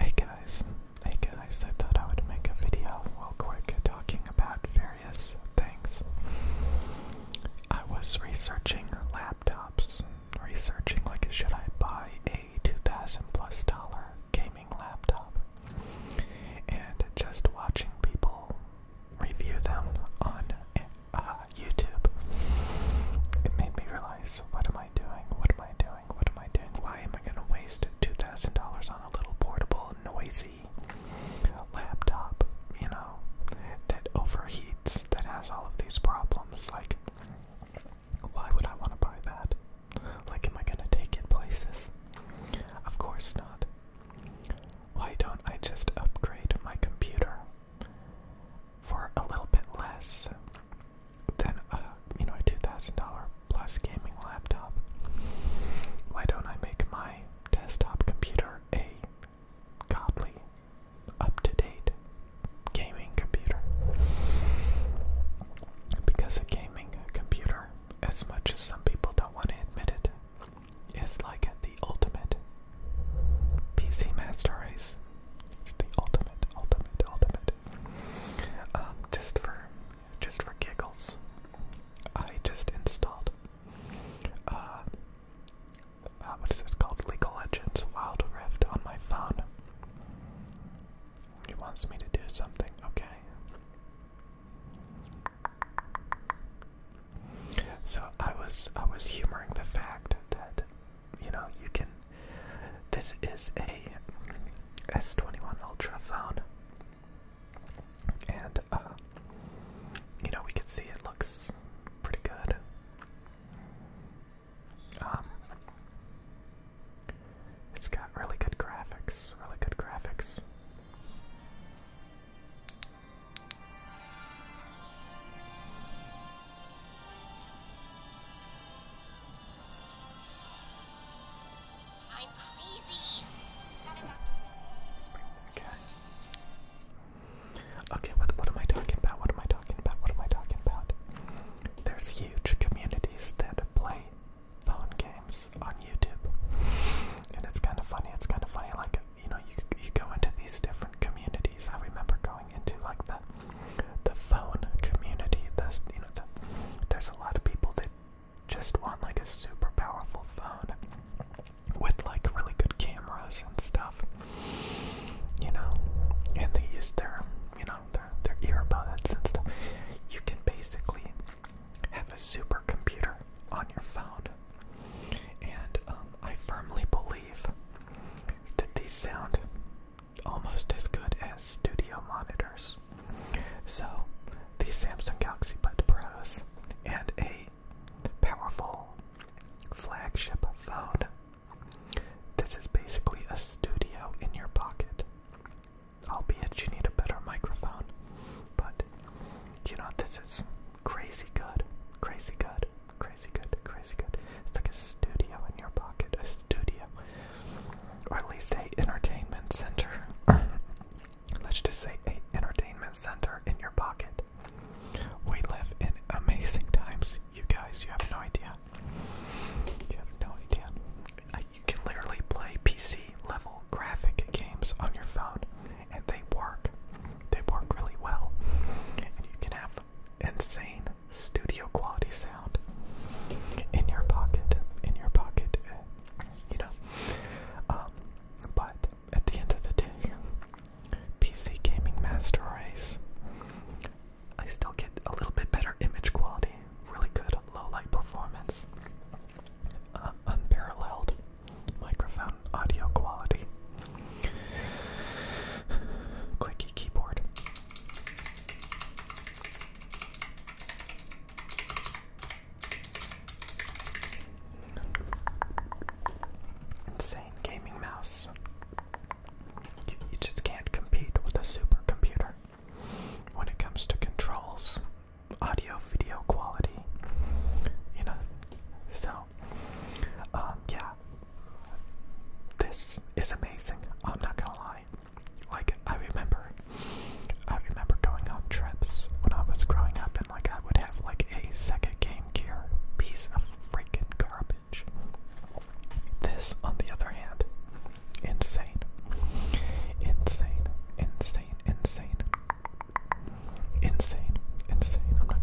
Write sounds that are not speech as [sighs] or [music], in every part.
Hey guys, hey guys, I thought I would make a video real quick talking about various things. I was researching laptops, researching like should I buy a 2000 plus dollar gaming laptop, and just watching people review them on uh, YouTube. It made me realize what am am I doing? What am I doing? What am I doing? Why am I going to waste $2,000 on a little portable, noisy laptop, you know, that overheats, that has all of these problems? Like, why would I want to buy that? Like, am I going to take it places? Of course not. Why don't I just upgrade my computer for a little bit less? than a you know a two thousand dollar plus gaming laptop. Why don't I make my desktop computer a godly, up to date gaming computer? Because a gaming computer, as much as some people don't want to admit it, is like the ultimate PC master race it's the ultimate, ultimate, ultimate. Um, just for, just for giggles, I just installed. Uh, uh, what is this called? League of Legends Wild Rift on my phone. He wants me to do something. Okay. So I was I was humoring the fact that you know, you can. This is a S21 Ultra phone, and uh, you know, we can see it looks pretty good. Um, it's got really good graphics, really good graphics. I'm crazy. Okay. Okay, what what am I talking about? What am I talking about? What am I talking about? There's huge communities that play phone games on YouTube. And it's kind of funny. It's kind of funny like, you know, you you go into these different communities. I remember going into like the the phone community. That's you know, the, there's a lot of people that just want like a super powerful phone with like really good cameras and stuff. You know, and they use their you know their their earbuds and stuff. You can basically have a super computer on your phone, and um, I firmly believe that these sound almost as good as studio monitors. So, the Samsung Galaxy Bud Pros and a powerful flagship phone. This is basically a studio in your pocket. Albeit you need a better microphone, but you know, this is crazy good. Crazy good crazy good, crazy good. It's like a studio in your pocket, a studio, or at least a entertainment center. [coughs] Let's just say a entertainment center in your pocket. We live in amazing times, you guys. You have no idea. You have no idea. Uh, you can literally play PC level graphic games on your phone, and they work. They work really well, and you can have insane studio quality sound in your pocket, in your pocket, you know. Um, but at the end of the day, PC gaming master race, I still get a little bit better image quality, really good low light performance, uh, unparalleled microphone audio quality, [sighs] clicky keyboard. Insane gaming mouse. You, just can't compete with a supercomputer when it comes to controls, audio, video quality. You know, so um, yeah, this is amazing. I'm not gonna lie. Like I remember, I remember going on trips when I was growing up, and like I would have like a second Game Gear piece of freaking garbage. This, on the other hand, insane, insane, insane, insane, insane, insane. I'm not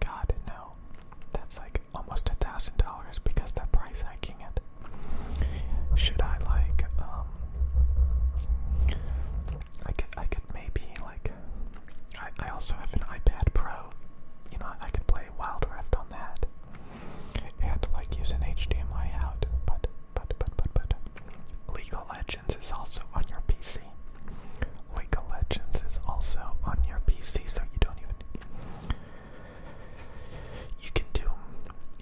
God, no. That's like almost a thousand dollars because they're price hiking it. Should I like, um, I could, I could maybe like, I, I also have an iPad Pro. You know, I could play Wild Rift on that and like use an HDMI out, but, but, but, but, but, League of Legends is also on your PC. League of Legends is also on your PC, so you don't even. You can do,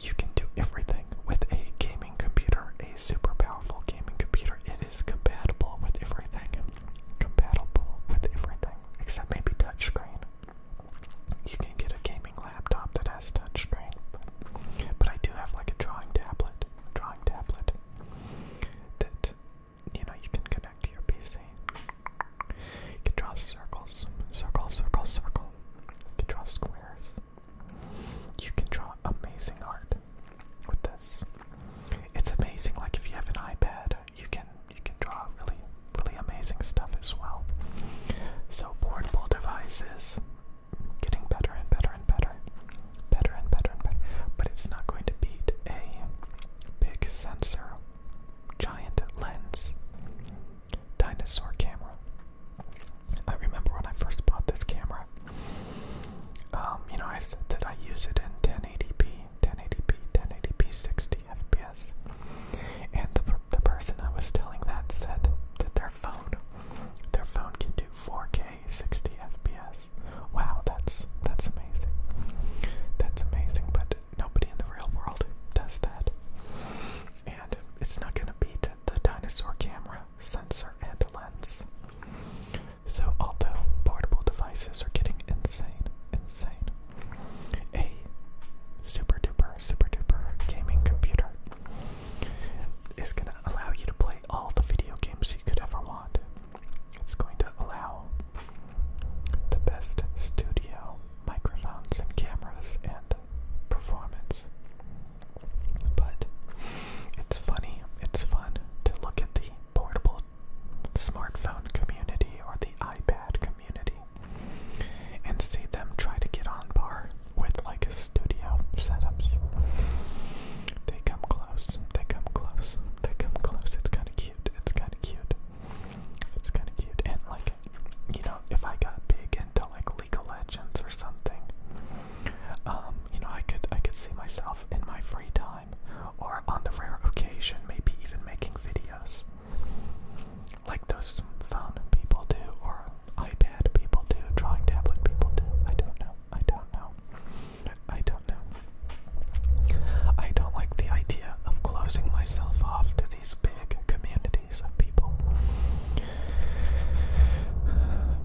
you can do everything with a gaming computer, a super powerful gaming computer. It is compatible with everything, compatible with everything except maybe touchscreen. You can get a gaming laptop that has touchscreen, but, I do have like a drawing tablet, drawing tablet that you know, you can connect to your PC. You can draw circles, circle, circle, circle. You can draw squares. You can draw amazing art with this. It's amazing. Like if you have an iPad, you can you can draw really really amazing stuff as well. So portable devices getting better and better and better better and better and better. But it's not going to beat a big sensor, giant lens, dinosaur camera. I remember when I first bought this camera. Um, you know, I said that I use it in 1080p, 1080p, 1080p, 60 FPS, and the the person I was telling that said that their phone, their phone can do 4K a 60 FPS. Wow, that's that's amazing. That's amazing, but nobody in the real world does that. And it's not gonna beat the dinosaur camera, sensor, and lens. So although portable devices are getting insane, insane, a super duper, super duper gaming computer is gonna allow you to play all the video games you could ever want. It's going to allow the best studio microphones and cameras and performance. But it's funny, it's fun to look at the portable smartphone community or the iPad community and see them try to get on par with like studio setups. They come close. They come close. They come close. It's kind of cute. It's kind of cute. It's kind of cute. And like, you know, if I got big into like League of Legends or something, um, you know, I could I could see myself in my free time or on the rare occasion, maybe even making videos like those phone people do or iPad people do, drawing tablet people do. I don't know. I don't know. I don't know. I don't like the idea of closing myself off to these big communities of people.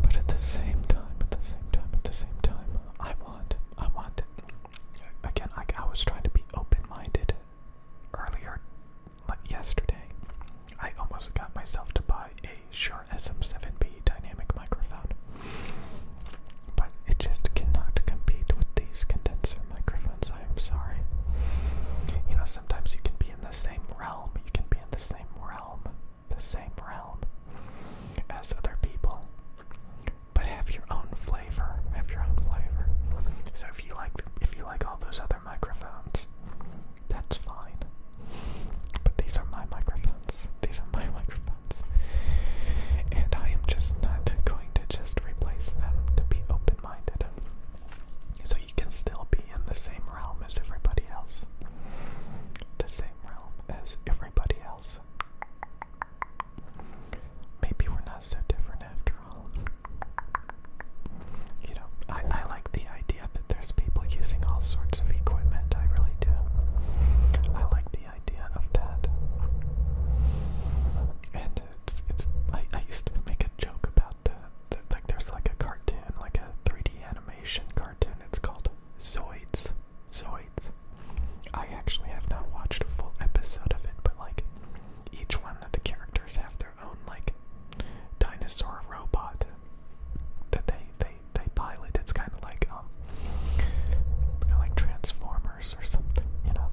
But at the same time, at the same time, at the same time, I want, I want, it again, I, I was trying to be open-minded earlier, like yesterday. I almost got myself to buy a Sure, SM7B dynamic microphone, but it just cannot compete with these condenser microphones. I am sorry. You know, sometimes you can be in the same realm. You can be in the same realm, the same realm as other people, but have your own flavor. Have your own flavor. So if you like, if you like all those other microphones, that's fine. But these are my microphones. These are my [laughs] microphones. And I am just not going to just replace them to be open minded. So you can still be in the same realm as everybody else. The same realm as everybody else. Maybe we're not so different after all. You know, I, I like the idea idea that there's people using all sorts of equipment. I really do. I like the idea of that. And it's it's I, I used to make a joke about the, the like there's like a cartoon, like a 3D animation cartoon. It's called Zoids. Zoids. I actually have not watched a full episode of it, but like each one of the characters have their own like dinosaur robot that they they they pilot. It's kind of like um, kind of like Transformers or something, you know.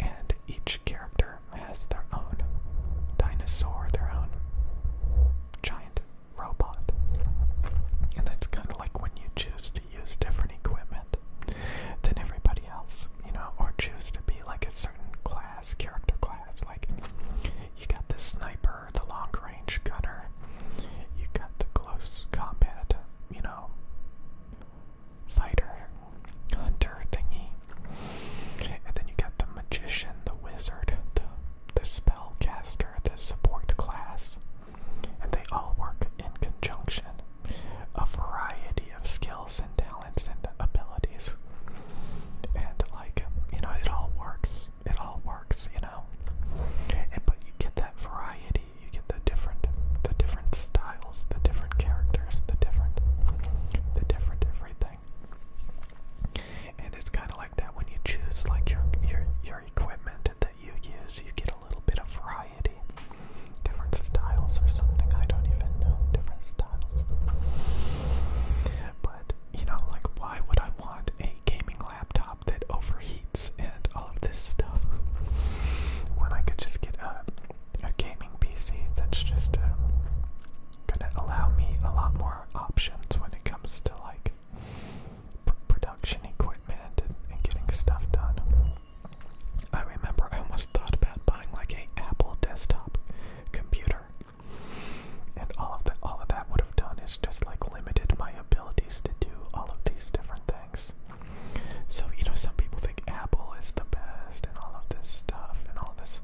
And each character has their own dinosaur, their own giant robot, and that's kind of like when you choose to use different equipment than everybody else, you know, or choose to be like a certain class, character class. Like you got this sniper the long range gunner. You got the close combat, you know, fighter, hunter thingy. And then you got the magician, the wizard, the, the spellcaster, the support class. And they all work in conjunction. A variety of skills and talents and abilities. And, like, you know, it all works it all works, you know. And but you get that variety, you get the different the different styles, the different characters, the different the different everything. And it's kinda like that when you choose like your your your equipment that you use, you get a little bit of variety. Different styles or something, I don't even know. Different styles. But you know, like why would I I want a gaming laptop that overheats and all of this stuff. When I could just get a, a gaming PC that's just uh, gonna allow me a lot more options when it comes to like pr production equipment and, and getting stuff done. I remember I almost thought about buying like a Apple desktop computer and all of that all of that would have done is just like limited my abilities to do all of these different things. So, you know, some people think Apple is the best and all of this stuff and all this.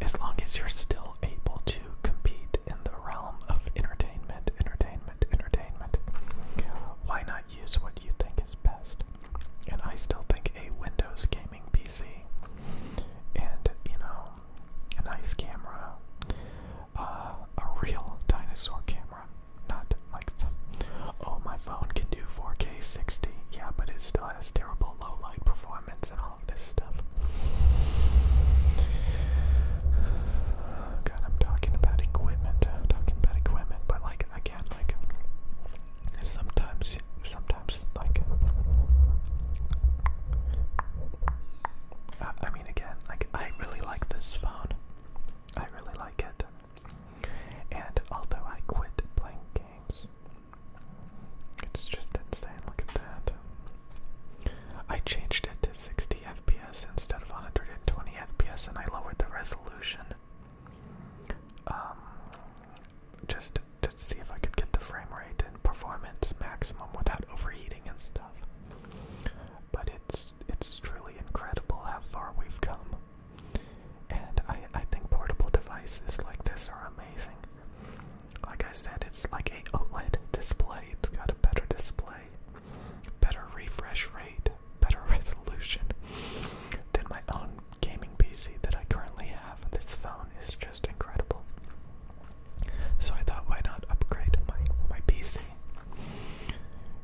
As long as you're still able to compete in the realm of entertainment, entertainment, entertainment, why not use what you think is best? And I still think a Windows gaming PC and, you know, a nice camera, uh, a real dinosaur camera, not like some. Oh, my phone can do 4K 60. Yeah, but it still has terrible low light performance and all of this stuff. God, I'm talking about equipment. talking about equipment, but like again, like sometimes, sometimes like uh, I, mean, again, like I really like this phone. I really like it. And although I quit playing games, it's just insane. Look at that. I changed it to 60 FPS instead of 120 FPS, and I lowered the resolution. Um, just to see if I could get the frame rate and performance maximum without overheating and stuff. But it's it's truly incredible how far we've come. And I, I think portable devices like this are amazing. Like I said, it's like a OLED display. It's got a better display, better refresh rate, better [laughs] resolution than my own gaming PC that I currently have. This phone is just incredible. So I thought, why not upgrade my my PC?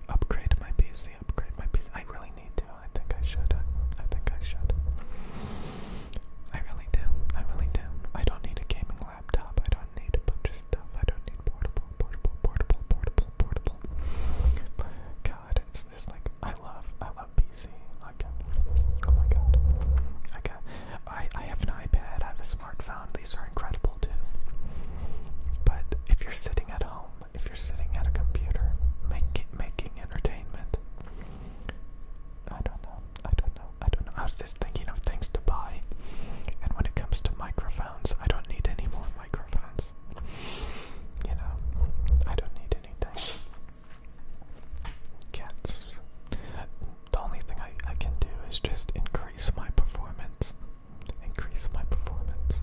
Upgrade my PC. Upgrade my PC. I really need to. I think I should. I think I should. I really do. I really do. I don't need a gaming laptop. I don't need a bunch of stuff. I don't need portable, portable, portable, portable, portable. God, it's just like I love. I love PC. Okay. Oh my god. Okay. I, I have an iPad, I have a smartphone, these are incredible too. But if you're sitting at home, if you're sitting at a computer, making making entertainment, I don't know, I don't know, I don't know. I was just thinking of things to buy. And when it comes to microphones, I don't need any more microphones. You know, I don't need anything. Cats. The only thing I, I can do is just increase my performance. Increase my performance.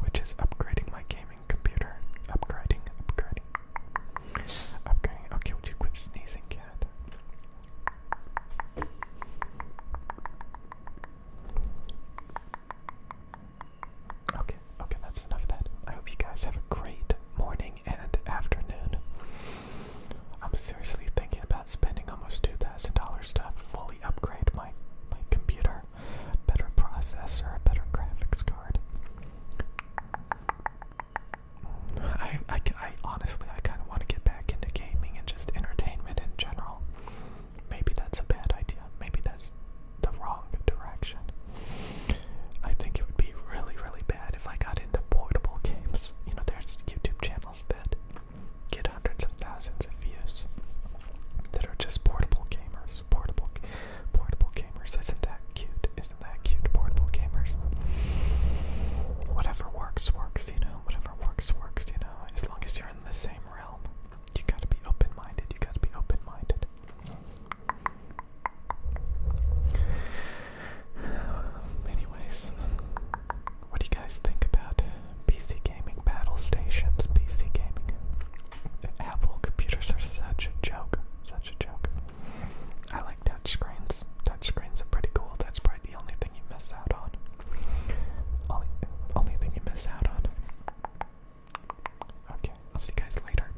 Which is upgrading my gaming computer. Upgrading, upgrading. Upgrading. Okay, would you quit sneezing, cat? Okay, okay, that's enough of that. I hope you guys have a great morning and afternoon. I'm seriously thinking about spending almost $2,000 to fully upgrade my, my computer. Better processor, a better graphics card. I, I, I honestly, I kind of want to get back into gaming and just entertainment in general. Maybe that's a bad idea. Maybe that's the wrong direction. I think it would be really, really bad if I got into portable games. You know, there's YouTube channels that get hundreds of thousands of views that are just portable gamers. Portable, portable gamers. Isn't that cute? Isn't that cute? Portable gamers. Whatever works, works. You know, whatever works, works. You know, as long as you're in the same realm, you gotta be open-minded. You gotta be open-minded. [sighs] anyways, what do you guys think about PC gaming battle stations? PC gaming. Apple computers are such a joke. Such a joke. I like touchscreens. Touchscreens are pretty cool. That's probably the only thing you miss out on. Only, only thing you miss out on. Okay, I'll see you guys later.